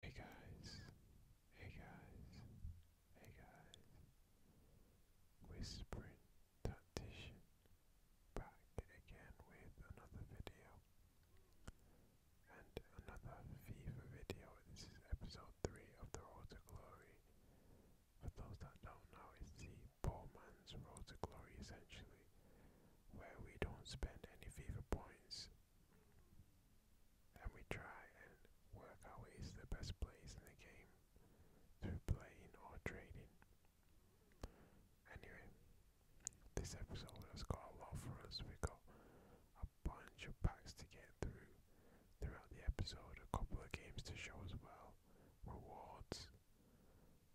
Hey guys, hey guys, hey guys. Whispering Tactician back again with another video and another FIFA video. This is episode 3 of the Road to Glory. For those that don't know, it's the poor man's Road to Glory essentially, where we don't spend any FIFA points and we try and work our ways to the best place in the game through playing or trading. Anyway, this episode has got a lot for us. We got a bunch of packs to get through throughout the episode, a couple of games to show as well, rewards,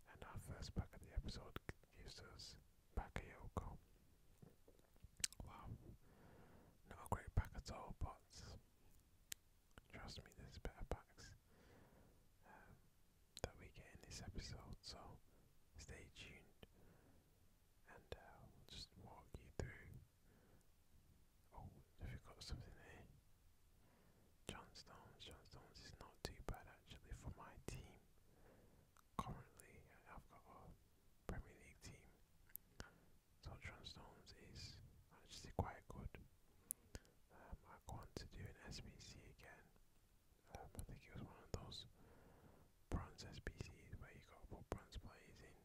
and our first pack of the episode gives us Bakayoko. Wow, not a great pack at all, but trust me, there's better packs um, that we get in this episode, so stay tuned and I'll uh, just walk you through. Oh, have you got something there? John Stones, John Stones is not too bad actually for my team currently I've got a Premier League team. So Transstones is actually quite good. Um, I want to do an SBC again. Um, I think it was one of those bronze SBCs where you got to put bronze players in.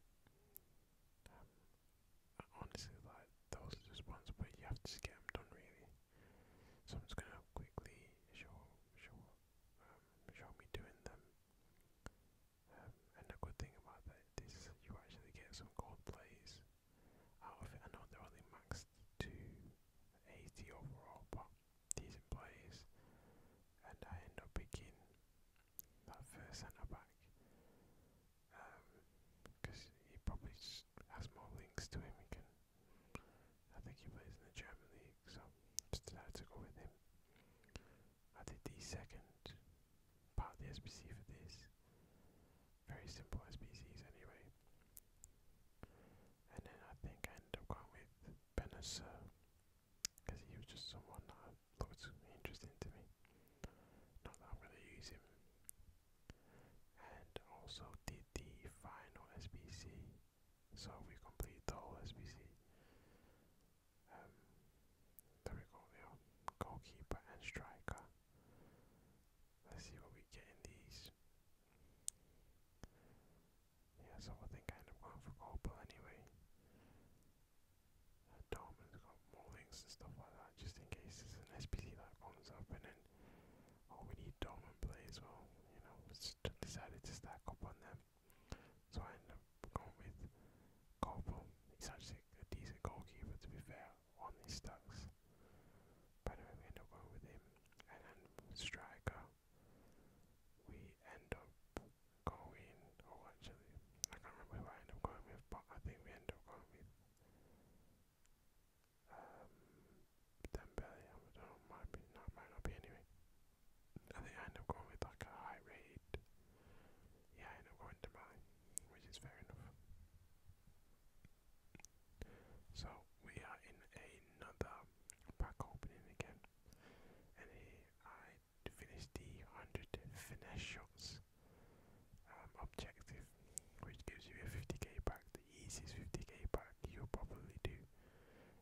Um, honestly, like those are just ones where you have to get them done really. So I'm just gonna quickly show show show me doing them. Um, and the good thing about that is you actually get some gold plays out of it. I know they're only maxed to 80 overall, but decent plays. And I end up picking that first centre back because um, he probably just has more links to him. He can, I think he plays in the German league, so just decided to go with him. I did the second part of the SPC for this. Very simple SPCs anyway. And then I think I ended up going with Benasser because he was just someone that I thought was interesting to me. Not that I'm going to use him. And also did the final SBC so we complete the whole SBC. Um, there we go, yeah. Goalkeeper and striker. Let's see what we get in these. Yeah, so I think I end up going for goalball anyway. Uh, Dortmund's got more links and stuff like that, just in case it's an SBC that comes up and then, oh, we need Dortmund play well, you know, decided to stack up on them. So I ended up going with Kobo. He's actually a decent goalkeeper to be fair on these stacks. we end up going with him. And striker, we end up going, oh actually, I can't remember who I end up going with, but I think we end up going with um, Dembele, might, be, might not be anyway. I end up going with like a high rate. Yeah, I end up going to Mali, which is fair enough. So we are in another pack opening again, and here I finished the 100 finesse shots um, objective, which gives you a 50k pack, the easiest 50k pack you probably do,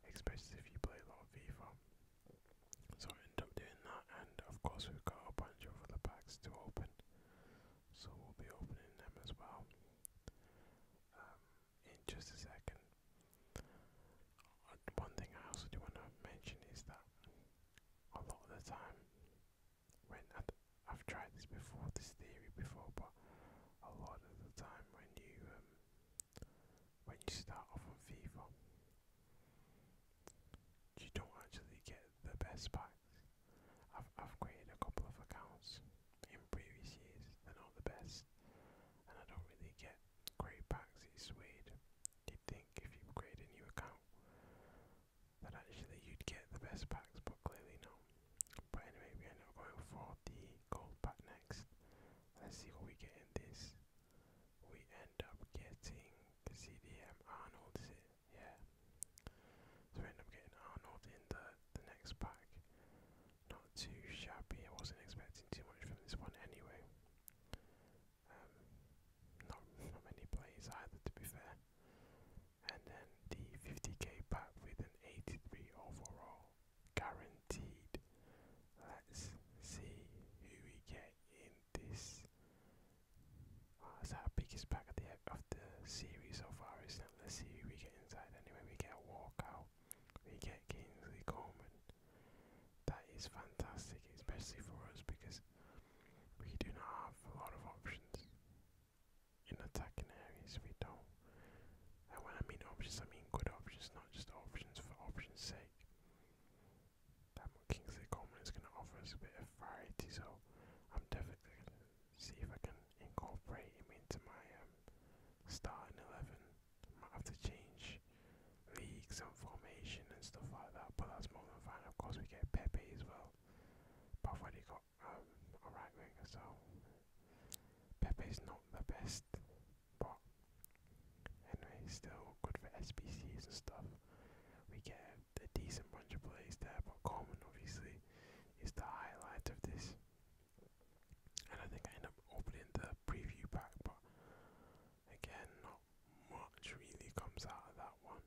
especially if you play a lot of FIFA. So I end up doing that, and of course, we've got a bunch of other packs to open, so we'll be opening them as well um, in just a second. Uh, one thing I also do want to mention is that a lot of the time, when I'd, I've tried this before, this theory before, but a lot of the time when you um, when you start off on FIFA, you don't actually get the best packs. I've, i created a couple of accounts in previous years, and are not the best, and I don't really get great packs. It's weird. You'd think if you create a new account that actually you'd get the best packs, but clearly not. But anyway, we end up going for the gold pack next. Let's see what we get in this. We end up getting CDM Arnold, Yeah. So we end up getting Arnold in the, the next pack. Not too shabby, I wasn't expecting too much from this one anyway. Um, not, not many plays either, to be fair. And then the 50k pack with an 83 overall guaranteed. Let's see who we get in this. That's ah, our biggest pack of the of the series so far? Isn't it? Let's see who we get inside. Anyway, we get a walkout. We get Kingsley Coleman. That is fantastic, especially for us because we do not have a lot of options in attacking areas. We don't. I mean options, I mean good options, not just options for options' sake. That Kingsley Coleman is going to offer us a bit of variety, so I'm definitely going to see if I can incorporate him into my um, starting 11. might have to change leagues and formation and stuff like that, but that's more than fine. Of course, we get Pepe as well, but I've got um, a right winger, so Pepe's not the best but anyway, still good for SBCs and stuff. We get a, a decent bunch of plays there, but Coleman obviously is the highlight of this. And I think I end up opening the preview pack, but again, not much really comes out of that one.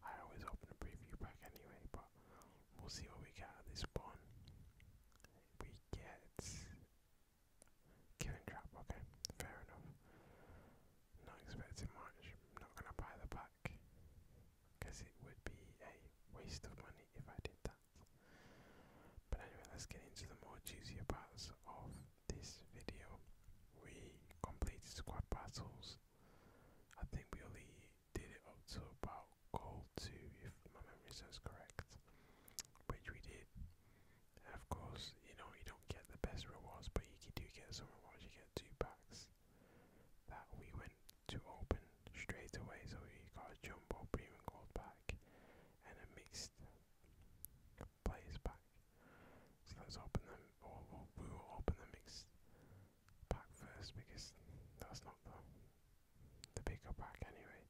I always open a preview pack anyway, but we'll see what we get out of this one. We get Killing trap, okay, fair enough. Not expecting much, not gonna buy the pack. Because it would be a waste of money if I did that. But anyway, let's get into the more juicier parts of this video. We completed squad battles. I think we only did it up to about goal 2 if my memory serves correct rewards, which we did. And of course, you know, you don't get the best rewards, but you do get some rewards. You get two packs that we went to open straight away, so we got a jumbo premium gold pack and a mixed players pack. So let's open them, or we'll, we will open the mixed pack first because that's not the the bigger pack anyway.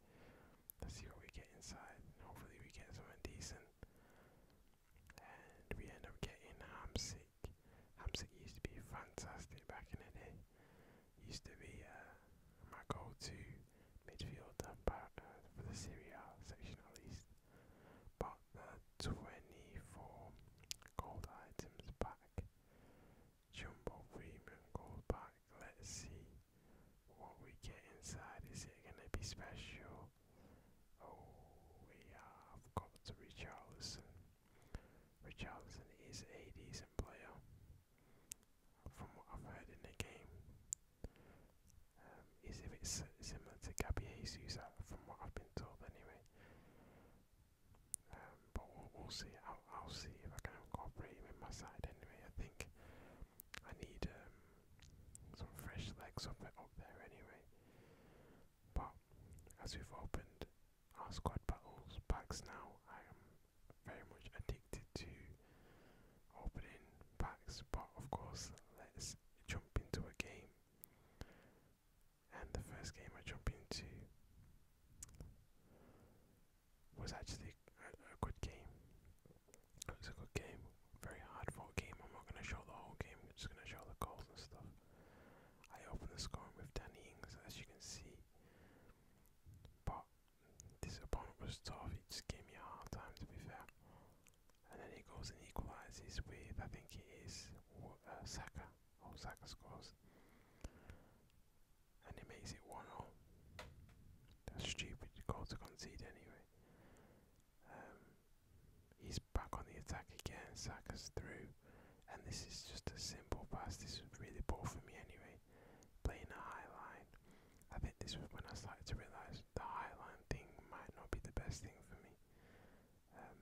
Let's see what we get inside. Hopefully we get something decent. And we end up getting Hamsik. Hamsik used to be fantastic back in the day. Used to be uh, my goal to midfielder but, uh, for the Serie section at least. But 24 gold items back. Jumbo premium gold pack. Let's see what we get inside, is it gonna be special? Oh, we have got Richarlison. Richarlison is a decent player, from what I've heard in the game. Um, is if it's similar to Gabby Jesus, uh, from what I've been told anyway. Um, but we'll, see. I'll see if I can incorporate him in my side anyway. I think I need um, some fresh legs somewhere up there anyway. But as we've opened our squad battles packs now, I am very much addicted to opening packs. But of course, let's jump into a game. And the first game I jump into was actually a, good game. It was a good game, very hard fought game. I'm not going to show the whole game, I'm just going to show the goals and stuff. I opened the scoring with Danny Ings, as you can see. But this opponent was tough, he just gave me a hard time to be fair. And then he goes and equalises with, I think it is, uh, Saka. Oh, Saka scores and he makes it 1 0. That's stupid goal to concede anyway. Um, he's back on the attack again, Saka's through, and this is just a simple pass. This was really poor for me anyway, playing a high line. I think this was when I started to realise the high line thing might not be the best thing for me. Um,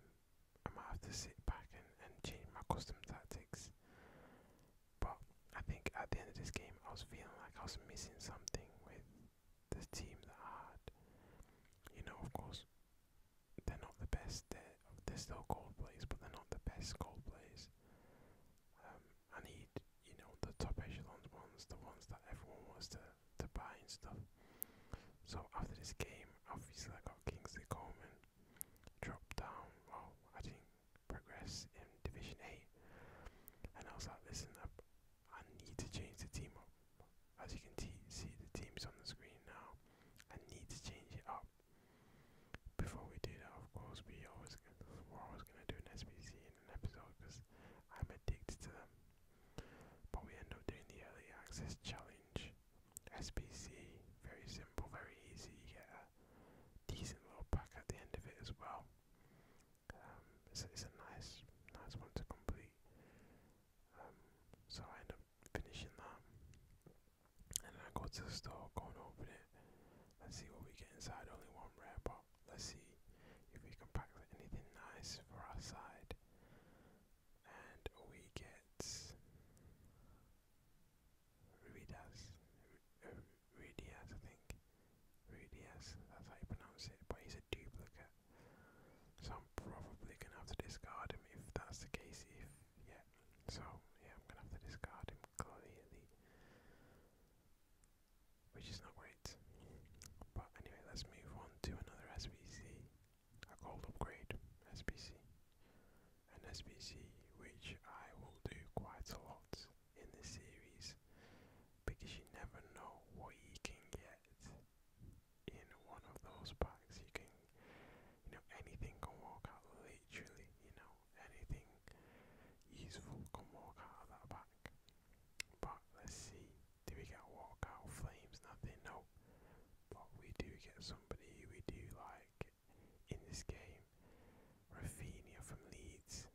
I might have to sit back and, and change my custom tactics. But I think at the end of this game, I was feeling like I was missing something with the team that I had. You know, of course, they're not the best. They're, they're still gold players, but they're not the best gold players. Um, I need, you know, the top echelon ones, the ones that everyone wants to, to buy and stuff. So after this game, obviously I got Kingsley Coleman dropped down. Well, I didn't progress in Division 8. And I was like, listen, I, I need to change the team up. As you can see, the team's on the screen now. I need to change it up. Before we do that, of course, we always we're always gonna do an SBC in an episode because I'm addicted to them. But we end up doing the early access challenge. SBC, very simple, very easy. You get a decent little pack at the end of it as well. Um, it's, a nice, nice one to complete. Um, so I end up finishing that, and then I go to the store, go and open it. Let's see what we get inside. Only one wrap, but let's see if we can pack anything nice for our side. And we get Ruidas, Ruidas, I think. Ruidas, that's how you pronounce it, but he's a duplicate. So I'm probably gonna have to discard him if that's the case. If yeah, so yeah, I'm gonna have to discard him clearly, which is not great. But anyway, let's move on to another SBC, a gold upgrade SBC, an SBC which I will do quite a lot in the series because you never know what you can get in one of those packs. You can, you know, anything can walk out, literally, you know, anything useful can walk out of that pack. But let's see, do we get walkout flames? Nothing, no. But we do get somebody we do like, in this game. Rafinha from Leeds.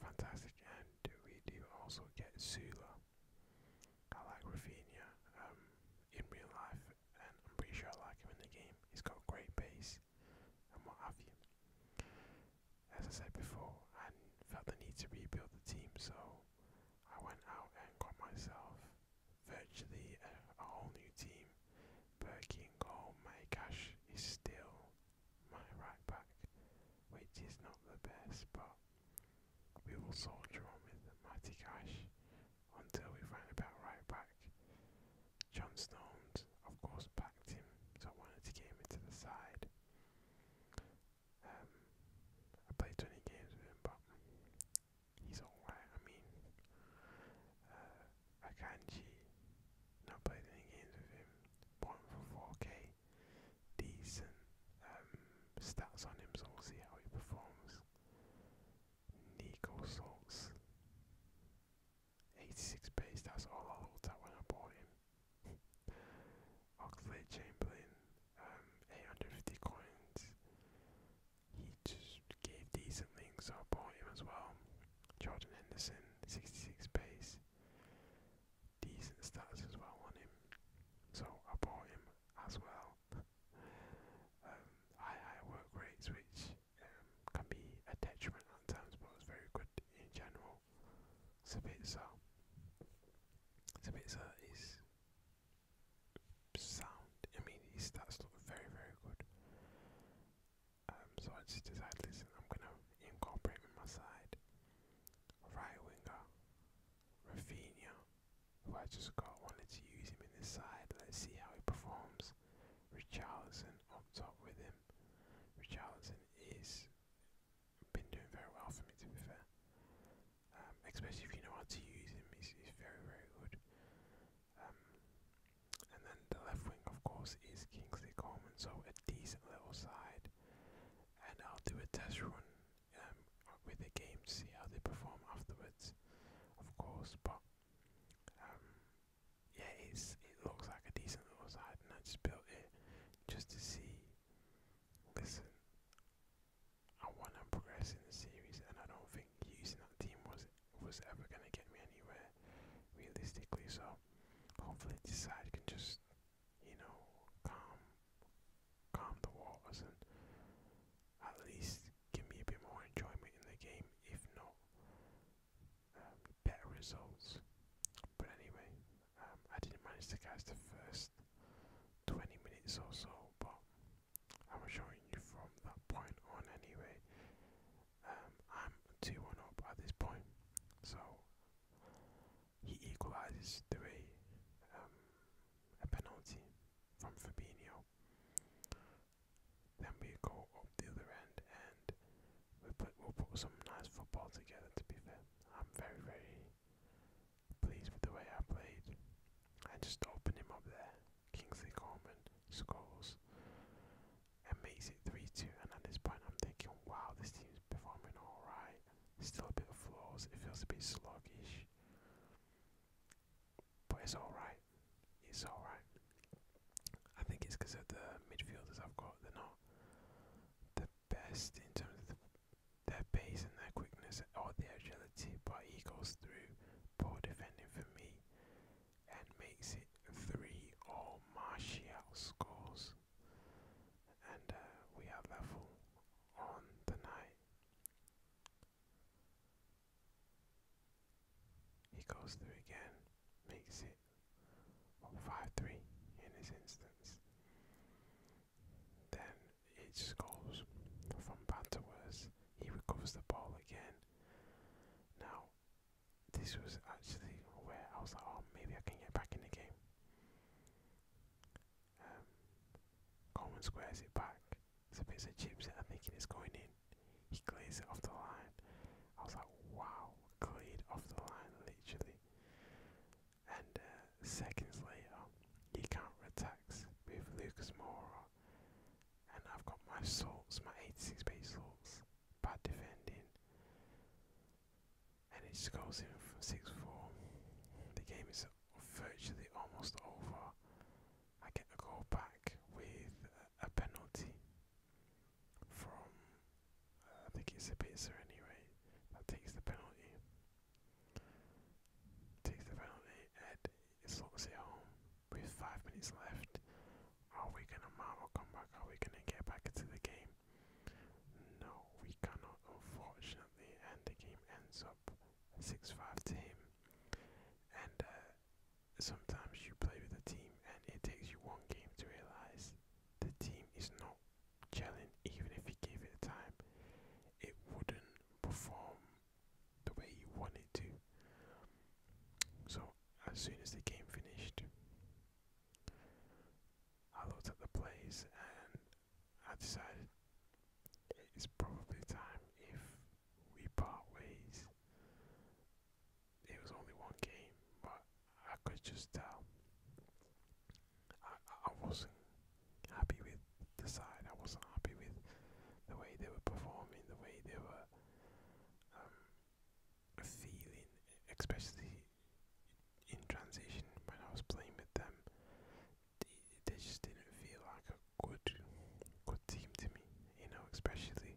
Fantastic. And we do also get Zula. I like Rafinha um, in real life, and I'm pretty sure I like him in the game. He's got great pace and what have you. As I said before, I felt the need to rebuild the team, so I went out and got myself virtually a whole new team Burking oh my gosh is still my right back, which is not the best, but we will soldier on with Matty Cash until we find about right back. John Stones, of course, backed him, so I wanted to get him into the side. Um, I played 20 games with him, but he's alright. I mean, uh, Akanji. Not played any games with him. One for 4k. Decent um, stats on him, so we'll see how he performs. Nico Salts. 86 base, that's all I looked at when I bought him. Oxlade Chamberlain, um, 850 coins. He just gave decent links, so I bought him as well. Jordan Henderson, 66 pace. Decent stats as well on him. So I bought him as well. um, high, high work rates, which um, can be a detriment at times, but it's very good in general. Sabitzer. Sabitzer is sound. I mean, his stats look very, very good. Um, so I just decided, listen, I'm gonna incorporate in my side right winger Rafinha, who I just got. Wanted to use him in this side. Let's see how he performs. Richarlison up top with him. Richarlison is been doing very well for me, to be fair. Um, especially if you know how to use him, he's, he's very, very good. Um, and then the left wing, of course, is Kingsley Coleman, so a decent little side. And I'll do a test run um, with the game to see how they perform afterwards, of course. But um, yeah, it's it looks like a decent little side, and I just built it just to see. Listen, I want to progress in the series, and I don't think using that team was was ever going to get me anywhere, realistically. So hopefully this side can just, you know, calm, calm the waters and at least give me a bit more enjoyment in the game, if not um, better results. But anyway, um, I didn't manage to catch the first 20 minutes or so, but I was showing you from that point on anyway. Um, I'm 2 1 up at this point, so he equalises three, um, a, penalty from Fabinho. Then we go up the other end and we put, we put some nice football together, to be fair. I'm very, very pleased with the way I played. I just opened him up there Kingsley Coleman scores and makes it 3 2. And at this point, I'm thinking, wow, this team's performing alright. Still a bit of flaws, it feels a bit sluggish. But it's alright. It's alright. I think it's because of the midfielders I've got, they're not the best in terms of the, their pace and their quickness or their agility, but he goes through poor defending for me and makes it three all Martial scores. And uh, we are level on the night. He goes through again, makes it 5-3 in this instance. Then it scores from bad to worse. He recovers the ball again. Now, this was actually where I was like, oh, maybe I can get back in the game. Um, Coleman squares it back. It's a bit of chips, I think it's going in. He clears it off the line. I was like, wow, cleared off the line, literally. And uh, seconds later, he counter attacks with Lucas Moura and I've got my salts, my 86 base salts, bad defending, and it scores goes in from 6 4. The game is virtually almost over. I get a goal back with a penalty from, I think it's a pizza anyway, that takes the penalty. Takes the penalty and it home with five minutes left. Are we gonna Marvel come back? Are we gonna get back into the game? No, we cannot unfortunately and the game ends up six five to him. And uh, sometimes you play with a team and it takes you one game to realise the team is not gelling even if you gave it time. It wouldn't perform the way you want to. So, as soon as the game finished, I looked at the place and I decided it's probably time if we part ways. It was only one game, but I could just tell I wasn't happy with the side, I wasn't happy with the way they were performing, the way they were um, feeling, especially in transition when I was playing with them. They, they just didn't feel like a good, good team to me, you know. Especially,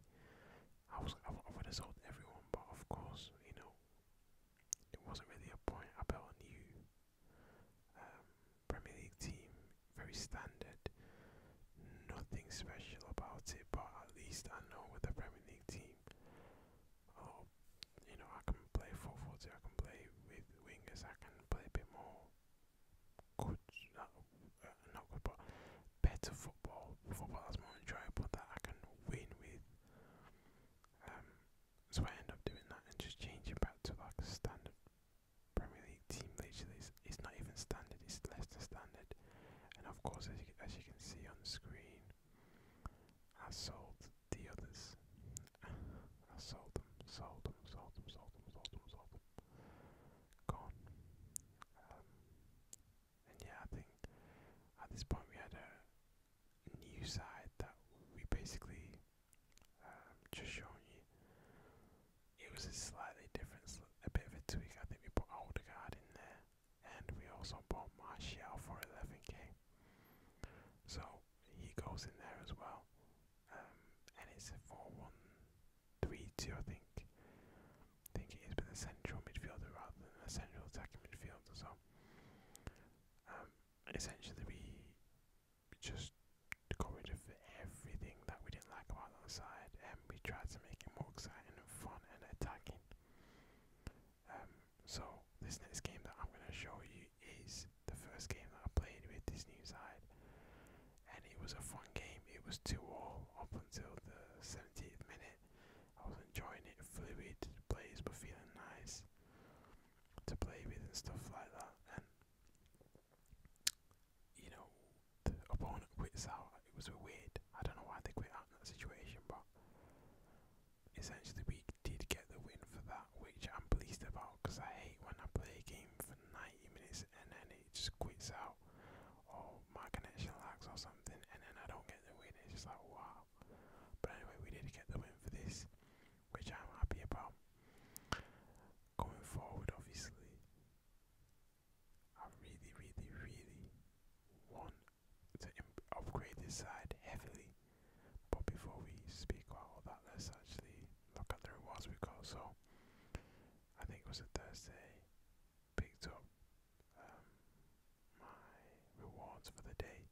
I was I, I would have sold everyone, but of course, you know, it wasn't really a point. I bet on you. Um, Premier League team very standard. Nothing special about it, but at least I know with the Premier League team, oh, you know, I can play 4-4-2, I can play with wingers, I can play a bit more good, not, uh, not good, but better football, football that's more enjoyable that I can win with. Um, so I end up doing that and just changing back to like a standard Premier League like team literally is, it's not even standard, it's less than standard. And of course, as you, as you can see on the screen, I sold the others. I sold them, sold them, sold them, sold them, sold them, sold them. Gone. Um, and yeah, I think at this point we had a new side that we basically um, just shown you it was a slightly different, a bit of a tweak. I think we put Odegaard in there, and we also bought Martial for 11k. So he goes in there as well, um, and it's a 4-1-3-2, I think. I think it is, but a central midfielder rather than a central attacking midfielder. So um, essentially, we just got rid of everything that we didn't like about the side, and we tried to make it more exciting and fun and attacking. Um, so this next game that I'm going to show you is the first game that I played with this new side, and it was a fun game. It was two all up until the 17th minute. I was enjoying it. Fluid plays were feeling nice to play with and stuff like that, you know, the opponent quits out. It was weird. I don't know why they quit out in that situation, but essentially we did get the win for that, which I'm pleased about because I hate when I play a game for 90 minutes and then it just quits out, or my connection lags or something, and then I don't get the win. It's just like wow. But anyway, we did get the win for this, which I'm happy about. Going forward, obviously, I really, really, really want to upgrade this side heavily. But before we speak about all that, let's actually look at the rewards we got. So, I think it was a Thursday, picked up um, my rewards for the day,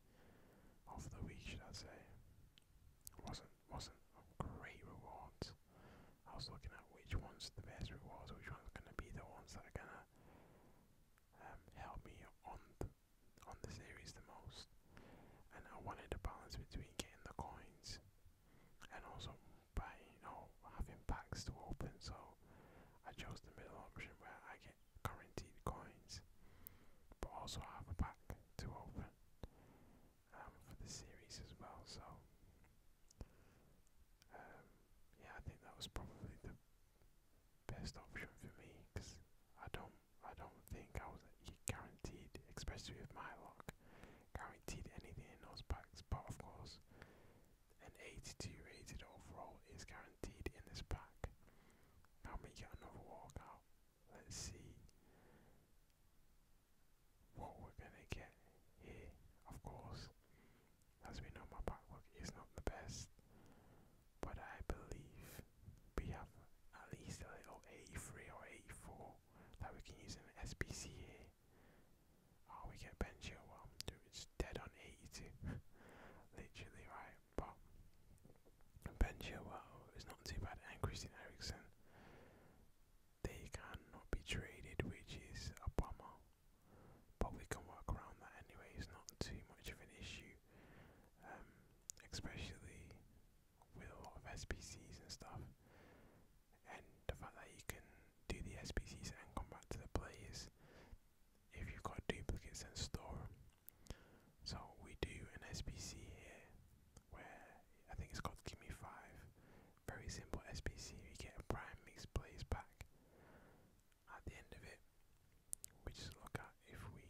of the week, should I say. Wasn't wasn't a great rewards. I was looking at which one's the best rewards, which one's going to be the ones that are going to um, help me on the, on the series the most. And I wanted a balance between getting the coins and also buying or having packs to open, so I chose the middle option where I get guaranteed coins, but also have a pack to open um, for the series as well. So um, yeah, I think that was probably the best option for me because I don't, I don't think I was guaranteed, especially with my luck, guaranteed anything in those packs. But of course, an 82 rated overall is guaranteed in this pack. Now we get another walkout. Let's see what we're gonna get here, of course. As we know, my packwork is not the best, but I believe we have at least a little 83 or 84 that we can use in SPCA. SPC oh, we get Ben Chilwell, dude, it's dead on 82, literally, right? But Ben Chilwell it's not too bad, and Christian Eriksen they cannot be traded, which is a bummer. But we can work around that anyway, it's not too much of an issue, um, especially with a lot of SPCs and stuff. And the fact that you can do the SPCs and come back to the players if you've got duplicates and store them. So we do an SPC here where I think it's called Gimme 5 very simple SPC, we get a prime mixed plays back at the end of it. We just look at if we,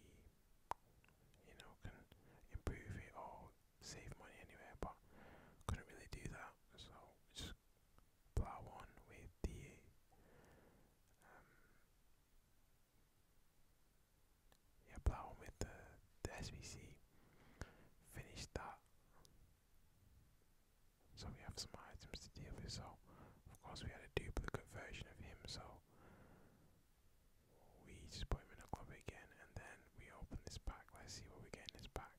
you know, can improve it or save money anyway. but couldn't really do that, so just plow on with the um, yeah, plow on with the the SVC. Finish that so we have some items to deal with, so of course we had a duplicate version of him, so we just put him in a club again and then we open this pack. Let's see what we get in this pack.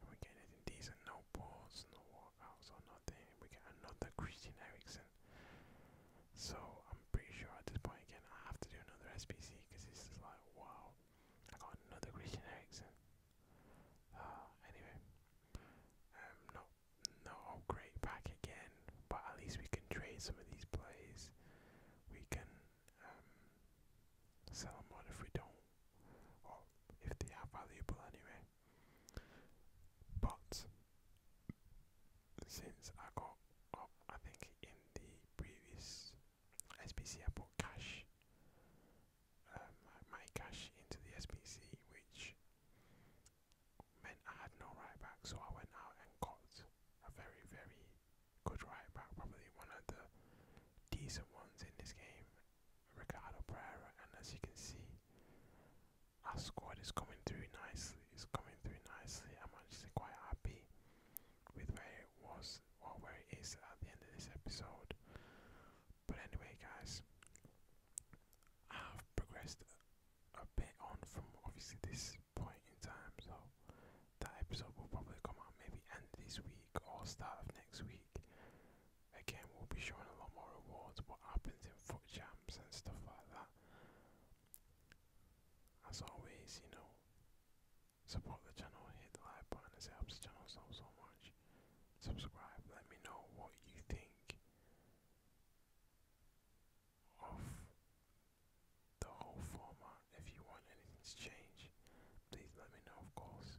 And we get anything decent, no boards, no walkouts or nothing. We get another Christian Eriksen. So I'm pretty sure at this point again I have to do another SPC because this is like wow. I got another Christian Eriksen. Ah, anyway, not not all great back again, but at least we can trade some of these plays. We can um, sell them on if we don't, or if they are valuable anyway. But since I got up, I think in the previous SBC I put cash, um, my cash into the SBC, which meant I had no right back. So I went out and got a very, very good right back, probably one of the decent ones in this game, Ricardo Pereira. And as you can see, our squad is coming through nicely. It's coming through nicely. I'm actually quite happy with where it was or where it is at the end of this episode. But anyway, guys, I've progressed a, bit on from obviously this point in time, so that episode will probably come out maybe end this week or start of next week. Again, we'll be showing a lot more rewards, what happens in foot jams and stuff like that. As always, you know, Support the channel, hit the like button, as helps the channel so, so much. Subscribe, let me know what you think of the whole format. If you want anything to change, please let me know, of course.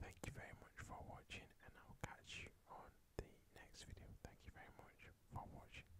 Thank you very much for watching, and I'll catch you on the next video. Thank you very much for watching.